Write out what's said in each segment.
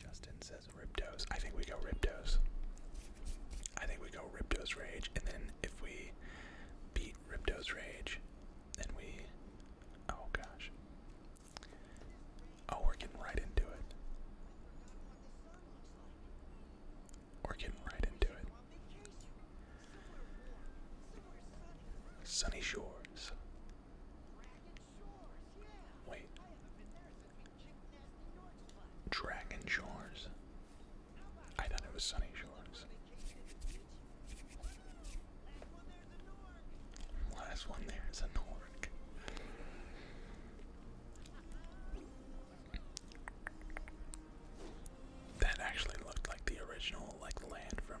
Justin says Riptos. I think we go Riptos. I think we go Riptos Rage, and then if we beat Riptos Rage, then we. Oh gosh. Oh, we're getting right into it. We're getting right into it. Sunny Shores. Wait. Dragon Shores. I thought it was Sunny Shores. Last one there is a Nork. That actually looked like the original like land from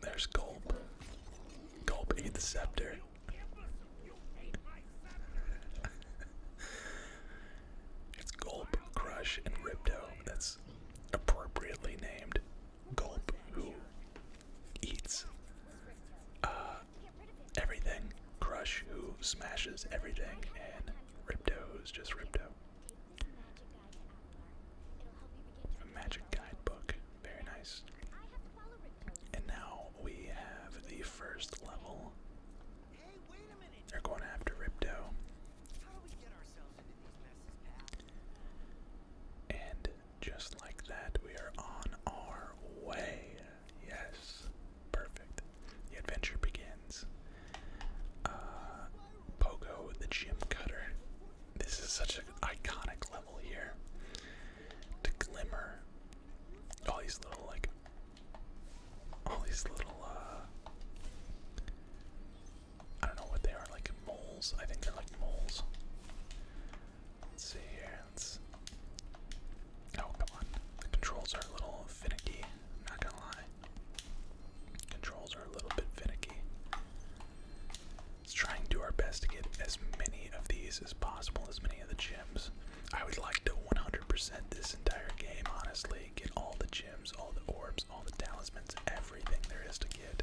There's Gulp. Gulp ate the scepter. it's Gulp, Crush, and Ripto. That's appropriately named. Gulp, who eats uh, everything. Crush, who smashes everything. And Ripto, who's just Ripto. A magic guidebook. Very nice. And now we have the first level. They're going after Ripto. And just like that, we are on our way. Yes. Perfect. The adventure begins. Uh, Pogo the Gym Cutter. This is such an iconic here. To glimmer. All these little like all these little uh I don't know what they are, like moles. I think they're like moles. Let's see here. Let's Oh come on. The controls are a little finicky, not gonna lie. Controls are a little bit finicky. Let's try and do our best to get as many of these as possible, as many of the gems. I would like to 100% this entire game, honestly. Get all the gems, all the orbs, all the talismans, everything there is to get.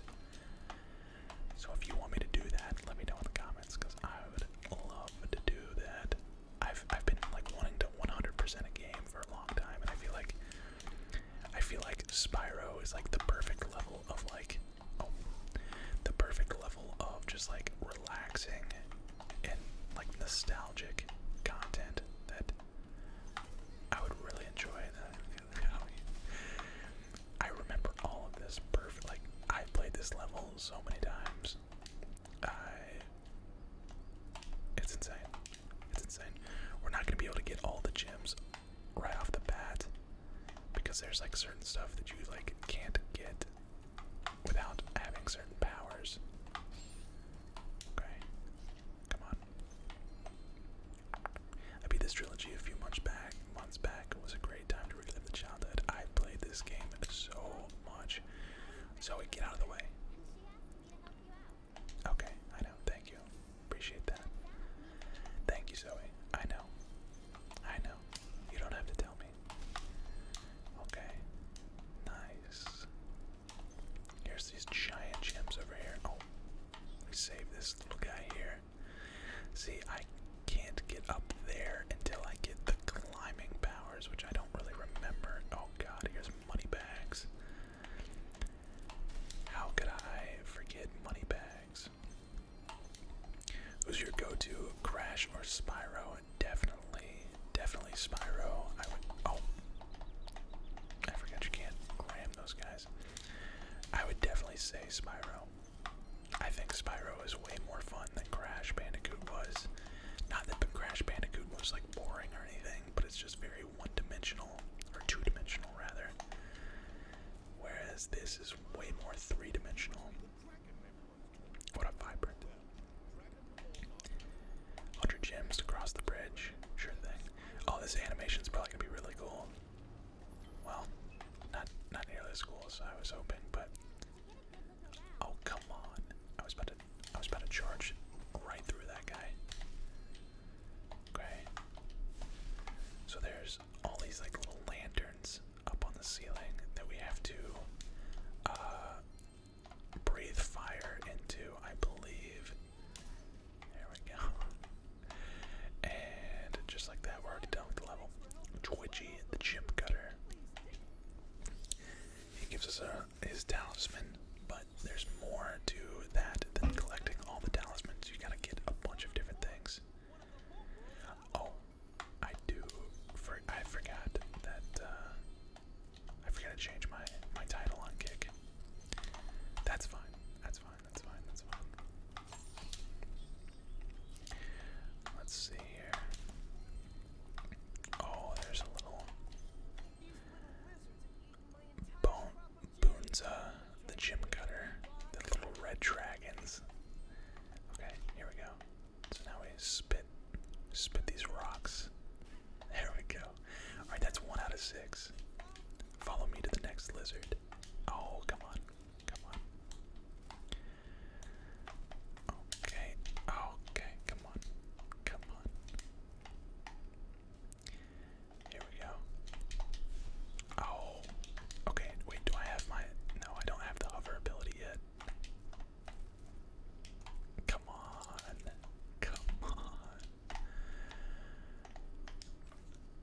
So if you want me to do that, let me know in the comments, because I would love to do that. I've, I've been like wanting to 100% a game for a long time, and I feel like I feel like Spyro is like the perfect level of like the perfect level of just like relaxing and like nostalgic content that I would really enjoy. I remember all of this perfect. Like I played this level so many times. I. It's insane. It's insane. We're not gonna be able to get all the gems right off the bat because there's like certain stuff that you like can't get without having certain powers. Okay. Come on. I beat this trilogy a few months back. Months back was a great time to relive the childhood. I played this game so much. Zoe, get out of the way. Okay, I know. Thank you. Appreciate that. Thank you, Zoe. I know. I know. You don't have to tell me. Okay. Nice. Here's these giant gems over here. Oh, save this little guy here. See, I can't get up there until I get the climbing powers, which I don't really remember. Oh god, here's money bags. How could I forget money bags? Was your go-to? Crash or Spyro? Definitely, definitely Spyro. I would. Oh, I forgot you can't clam those guys. I would definitely say Spyro. I think Spyro is way more fun than Crash Bandicoot was. Not that Crash Bandicoot was like boring or anything, but it's just very one-dimensional or two-dimensional rather. Whereas this is way more three dimensional. What a vibrant. Hundred gems to cross the bridge. Sure thing. Oh, this animation's probably gonna be really cool. Well, not not nearly as cool as I was hoping, but oh come on! I was about to I was about to charge right through that guy. Okay. So there's all these like little lanterns up on the ceiling that we have to uh, breathe fire into, I believe. There we go. And just like that, we're already done with the level. Twitchy, the chip cutter. He gives us a, his talisman, but there's more to that than collecting all the talismans. You gotta get a bunch of different things. Oh, I do. For I forgot that. Uh, I forgot to change my my title on Kick. That's fine. That's fine. That's fine. That's fine. Let's see here. Oh, there's a little bone Boonza, uh, the Gym Cutter, the little red dragons. Okay, here we go. So now we spit, spit these rocks. There we go. All right, that's one out of six. Follow me to the next lizard. Oh, come on, come on. Okay, okay, come on, come on. Here we go. Oh. Okay, wait, do I have my. No, I don't have the hover ability yet. Come on. Come on.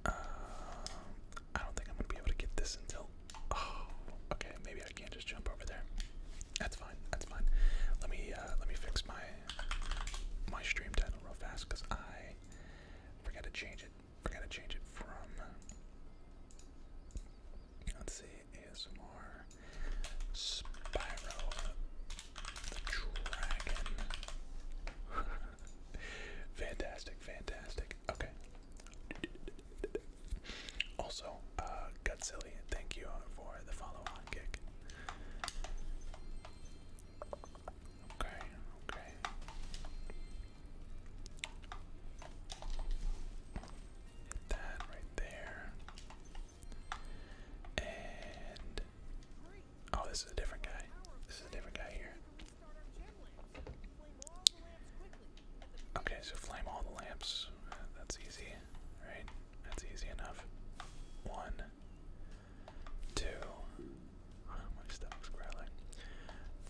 Uh, I don't think I'm going to be able to get this until. Oh, okay, maybe I can't just jump over there. That's fine. That's fine. Let me uh, let me fix my my stream title real fast because I forgot to change it forgot to change it from. Let's see, ASMR Spyro the Dragon. fantastic, fantastic. Okay. Also, uh, Gutsilly, thank you for the follow on kick. Okay, okay. Hit that right there. And oh, this is a different guy. This is a different guy here. Okay, so flame all the lamps. That's easy, right? That's easy enough. One, Two. my stomach's growling,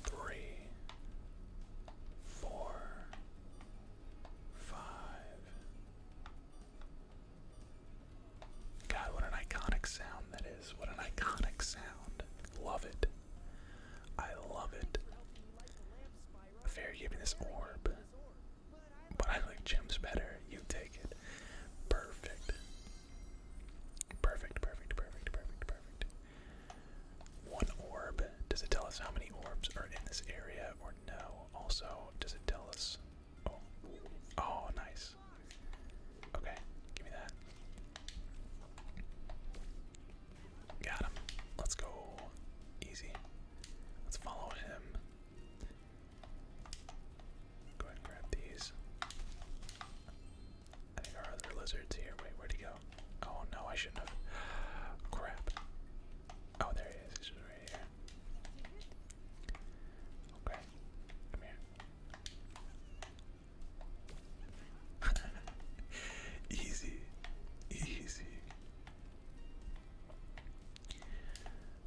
three, four, five. God, what an iconic sound that is. What an iconic sound. Love it. I love it. Fair gave me this orb. But I like gems better. You take it. Perfect. Perfect, perfect, perfect, perfect, perfect. One orb. Does it tell us how many orbs are in this area or no? Also, does it tell us. Oh. oh nice. Okay, give me that. Got him. Let's go. Easy. Let's follow him. Go ahead and grab these. I think our other lizard's here. Wait, where'd he go? Oh no, I shouldn't have. Crap. Oh, there he is. He's just right here. Okay, come here. easy, easy.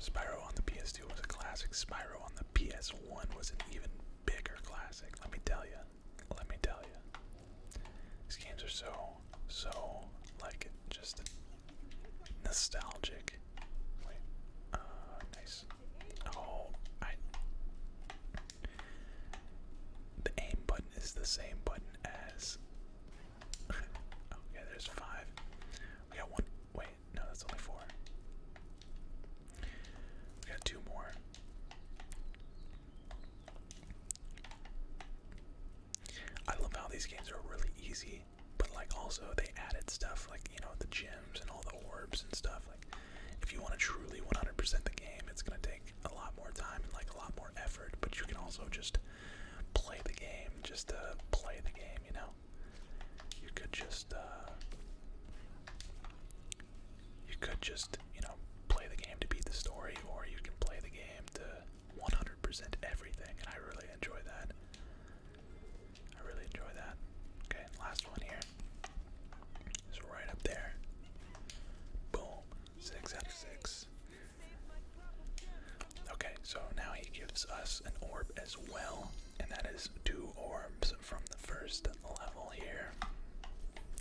Spyro on the PS2 was a classic. Spyro on the PS1 was an even bigger classic. Let me tell you. Let me tell you. These games are so, so like just nostalgic. Wait, uh, nice. Oh, I. The aim button is the same button as. oh there's five. We got one. Wait, no, that's only four. We got two more. I love how these games are really easy, but like also they added stuff like, you know, the gems and all the orbs and stuff. Like if you want to truly 100% the game, it's going to take a lot more time and like a lot more effort, but you can also just play the game, just to uh, play the game, you know. You could just uh, you could just, you know, play the game to beat the story, or you can play the game to 100% everything, and I really enjoy that. I really enjoy that. Okay, last one here. It's right up there. Boom. Six out of six. Okay, so now he gives us an orb as well and that is two orbs from the first level here.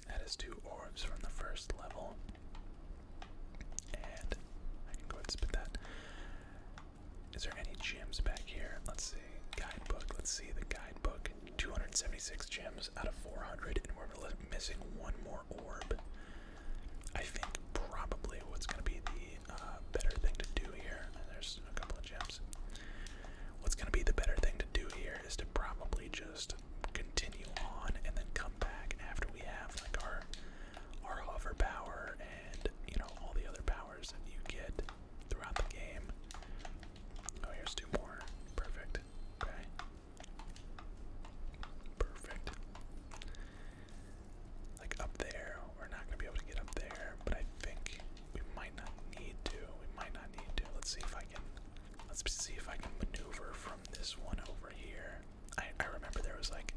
That is two orbs from the first level. And I can go ahead and spit that. Is there any gems back here? Let's see. Guidebook. Let's see the guidebook. 276 gems out of 400, and we're missing one more orb. I think probably what's going to be the uh, better thing to do here. There's a couple of gems. What's going to be the better thing to do here is to probably just continue on and then come back after we have like our our hover power and you know all the other powers that you get throughout the game. Oh, here's two more. Perfect. Okay. Perfect. Like up there, we're not gonna be able to get up there, but I think we might not need to. We might not need to. Let's see if I can. Let's see if I can maneuver from this one over here. I I remember there was like.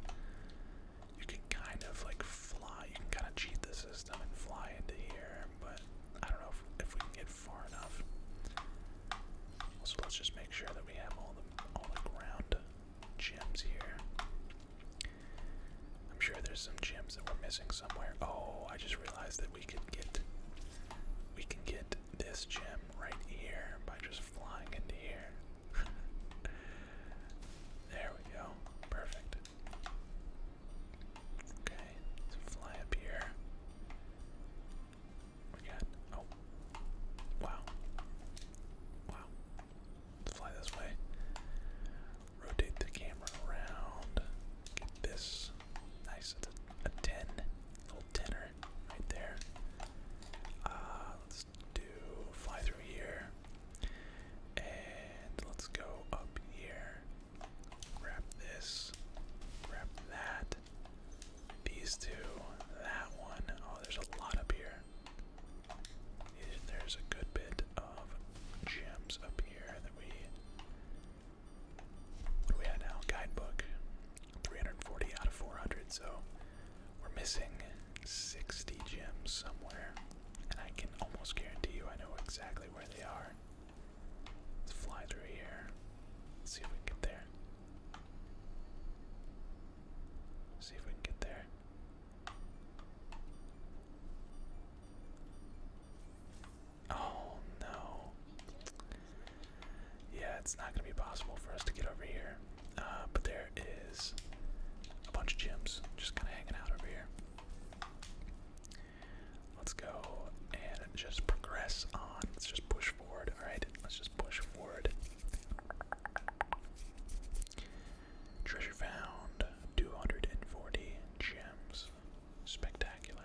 You can kind of like fly. You can kind of cheat the system and fly into here, but I don't know if, if we can get far enough. So let's just make sure that we have all the all the ground gems here. I'm sure there's some gems that we're missing somewhere. Oh, I just realized that we could get we can get this gem right here by just flying into here. there we go. Perfect. Okay, so fly up here. We got oh wow. Wow. Let's fly this way. Rotate the camera around. Get this. Nice. It's a, 10. Little tenor right there. Uh, let's do fly through here. And let's go up here. Grab this. Grab that. These two. That one. Oh, there's a lot up here. There's a good bit of gems up here that we we have now? Guidebook. 340 out of 400, so we're missing 60 gems somewhere. And I can almost guarantee you I know exactly where they are. Let's fly through here. see if we get there. See if we can get there. Oh no. Yeah, it's not going to be possible for us to get over here. Uh, but there is a bunch of gems just kind of hanging out over here. Let's go and just progress on. Let's just push forward. Alright, let's just push forward. Treasure found 240 gems. Spectacular.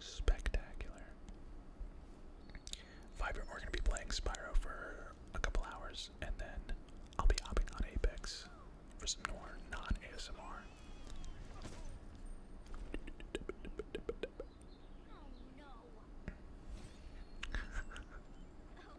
Spectacular. Vibrant, we're gonna be playing Spyro for a couple hours, and then I'll be hopping on Apex for some more non-ASMR. Oh, oh,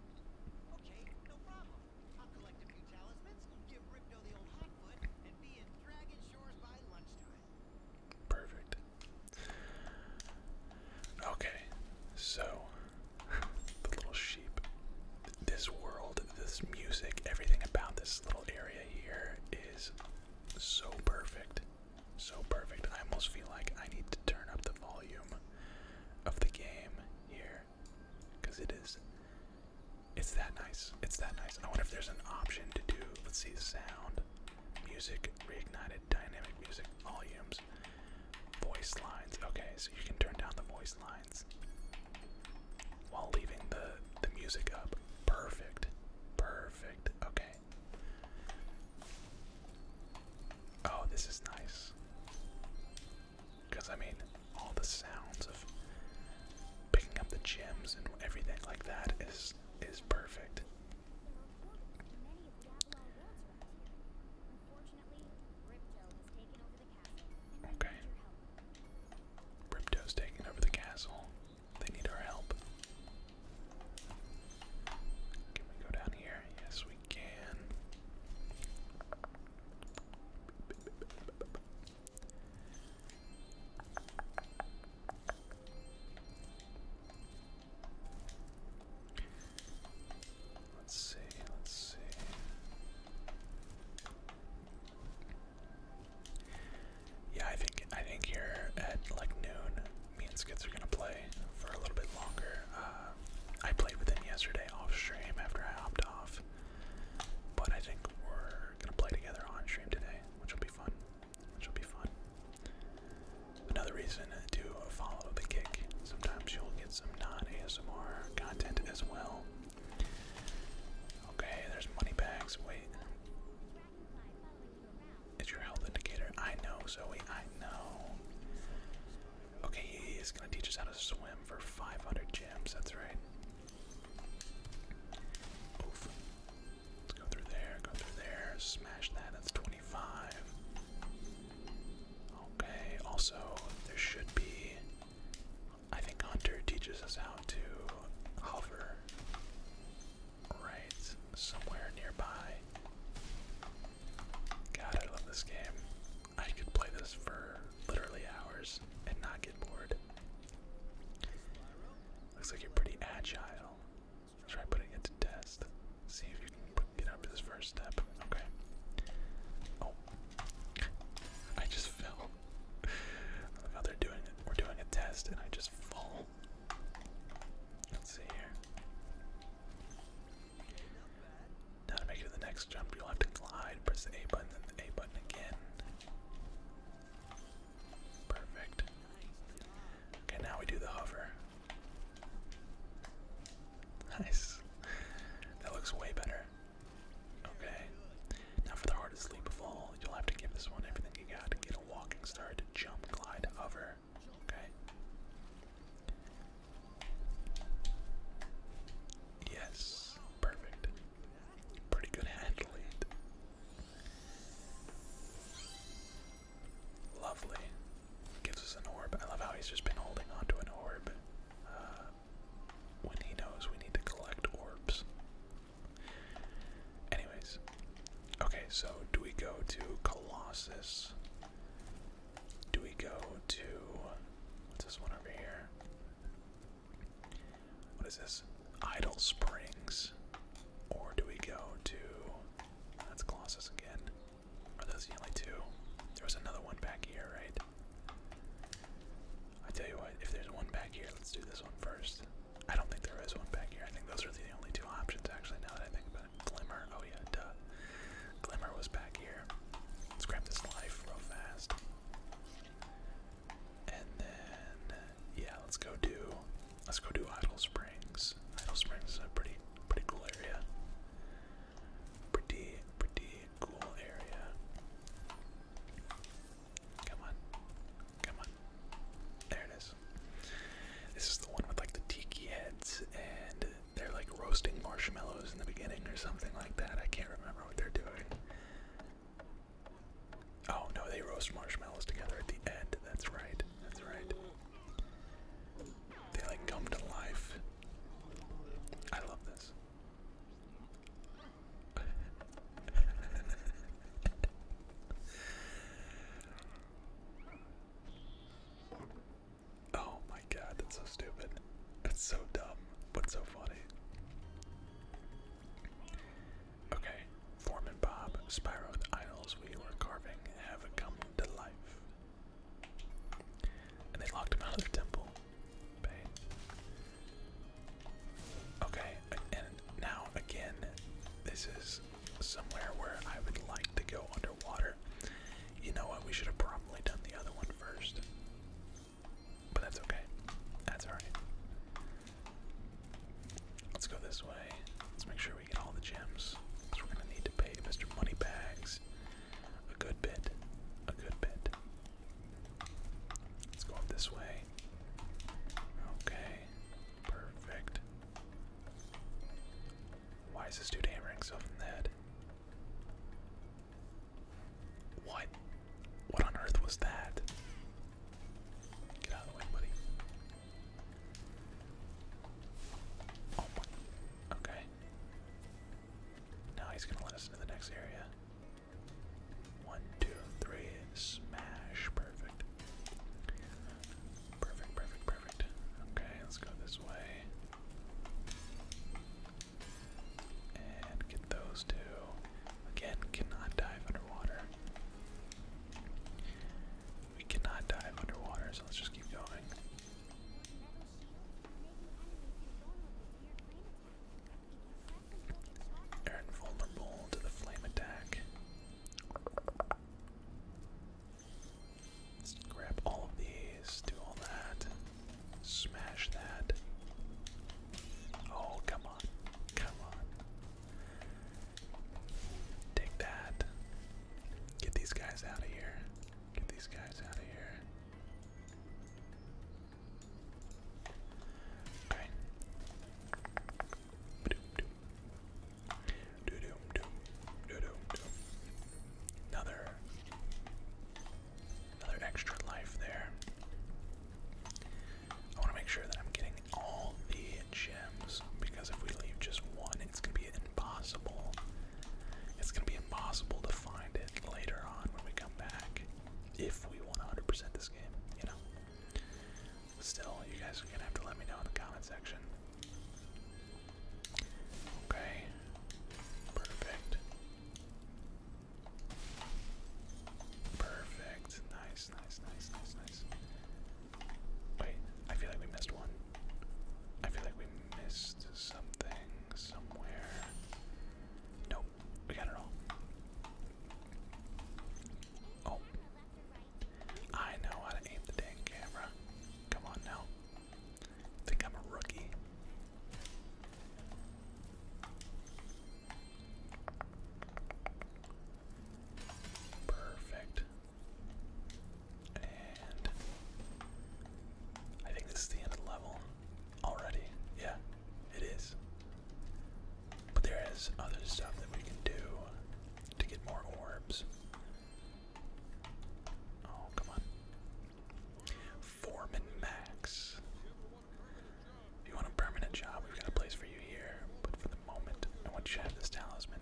Perfect. Okay, so the little sheep. This world, this music, everything about this little area here is so perfect. So perfect. I almost feel like I need to turn up the volume of the game here because it is it's that nice it's that nice i wonder if there's an option to do let's see sound music reignited dynamic music volumes voice lines okay so you can turn down the voice lines while leaving the the music up perfect perfect okay Oh, this is nice. Because, I mean, all the sounds of picking up the gems and everything like that is is perfect. Okay. Ripto's taking over the castle. They need our help. Can we go down here? Yes, we Let's see, let's see. Yeah, I think I think here at like noon, me and Skids are gonna play for a little bit longer. Uh, I played with him yesterday off stream after I hopped off, but I think we're gonna play together on stream today, which will be fun. Which will be fun. Another reason to follow the kick. Sometimes you'll get some non-ASMR content as well. Okay, there's money bags. Wait. It's your health indicator. I know, Zoe. I know. Okay, he's gonna teach us how to swim for 500 gems, that's right. Let's go through there, go through there, smash that, that's 25. Okay, also, there should be. I think Hunter teaches us how to hover right somewhere nearby. God, I love this game. I could play this for literally hours and not get bored. Looks like you're pretty agile. try putting it to test. See if you can get up this first step. Okay. Oh, I just fell. I how they're doing it. We're doing a test, and I just fall. Let's see here. Now to make it to the next jump, you'll have to glide, press the A button, then the A button again. Perfect. Okay, now we do the hover. Nice. That looks way better. Okay. Now for the hardest leap of all, you'll have to give this one everything you got to get a walking start, jump, glide, hover. Okay. Yes, perfect. Pretty good athlete. Lovely. Gives us an orb. I love how he's just been holding on an orb. Uh, when he knows we need to collect orbs. Anyways. Okay, so do we go to Colossus? Do we go to what's this one over here? What is this? Idle Springs. Or do we go to that's Colossus again? Are those the only two? There was another one back here, right? I tell you what, if there's one back here, let's do this one first. I don't think there is one back here. I think those are the only two options, actually, now that I think about it. Glimmer, oh yeah, duh. Glimmer was back here. Let's grab this life real fast. And then, yeah, let's go do, let's go do Idle Springs. Idle Springs is a pretty, pretty cool area. Pretty, pretty cool area. Come on, come on. There it is. This is the one with like the tiki heads and they're like roasting marshmallows in the beginning or something like that. I can't remember what they're doing. Oh no, they roast marshmallows together at the end. That's right. That's right. They like come to life. I love this. Oh my god, that's so stupid. It's so dumb, but so funny. Okay, Foreman Bob, the idols we were carving have come to life. And they locked him out of the temple. Okay, and now again, this is somewhere where I would like to go underwater you know what? We should have probably done the other one first. But that's okay. That's alright. Let's go this way. Let's make sure we get all the gems. we're going to need to pay Mr. Moneybags a good bit. A good bit. Let's go up this way. Okay. Perfect. Why is this dude hammering himself in what? What on earth was that? Get out of the way, buddy. Oh my. Okay. Now he's gonna let us into the next area. One, two, three, smash. Perfect. Perfect, perfect, perfect. Okay, let's go this way. And get those two. Again, cannot dive underwater. We cannot dive underwater, so let's just keep going. they to the flame attack grab all of these, do all that, smash that. Oh, come on, come on. Take that. Get these guys out of here. Get these guys out of here. Okay. Another another extra life there. I want to make sure that I'm getting all the gems because if we leave just one, it's gonna be impossible. It's gonna be impossible to find it later on when we come back. If we want 100% this game, you know. Still, you guys are gonna have to let me know in the comment section. Okay. Perfect. Perfect. Nice, nice, nice, nice, nice. Wait, I feel like we missed one. I feel like we missed something somewhere. Nope, we got it all. Oh. I know how to aim the dang camera. Come on now. Think I'm a rookie. Perfect. And I think this is the end of the level already. Yeah, it is. But there is other stuff that we can do to get more orbs. Oh, come on. Foreman Max. If you want a permanent job, we've got a place for you here. But for the moment, I want you to have this talisman.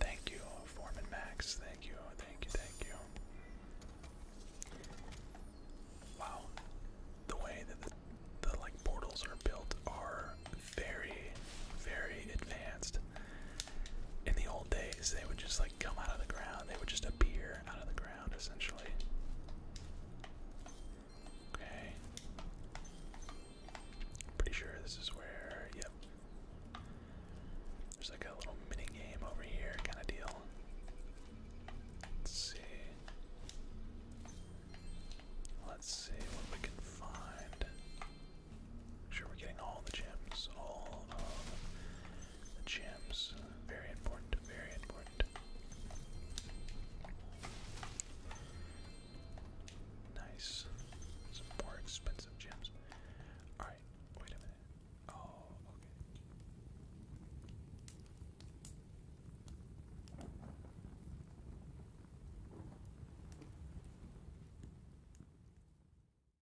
Thank you, Foreman Max. Thank you, thank you, thank you. Wow, the way that the, like portals are built are very, very advanced in the old days they would just like come out of the ground. They would just appear out of the ground essentially. Okay. Pretty sure this is where yep. There's like a little mini game over here kind of deal. Let's see. Let's see what we can find. Sure, we're getting all the gems, all of uh, the gems. Very important, very important. Nice. Some more expensive gems. Alright, wait a minute. Oh, okay.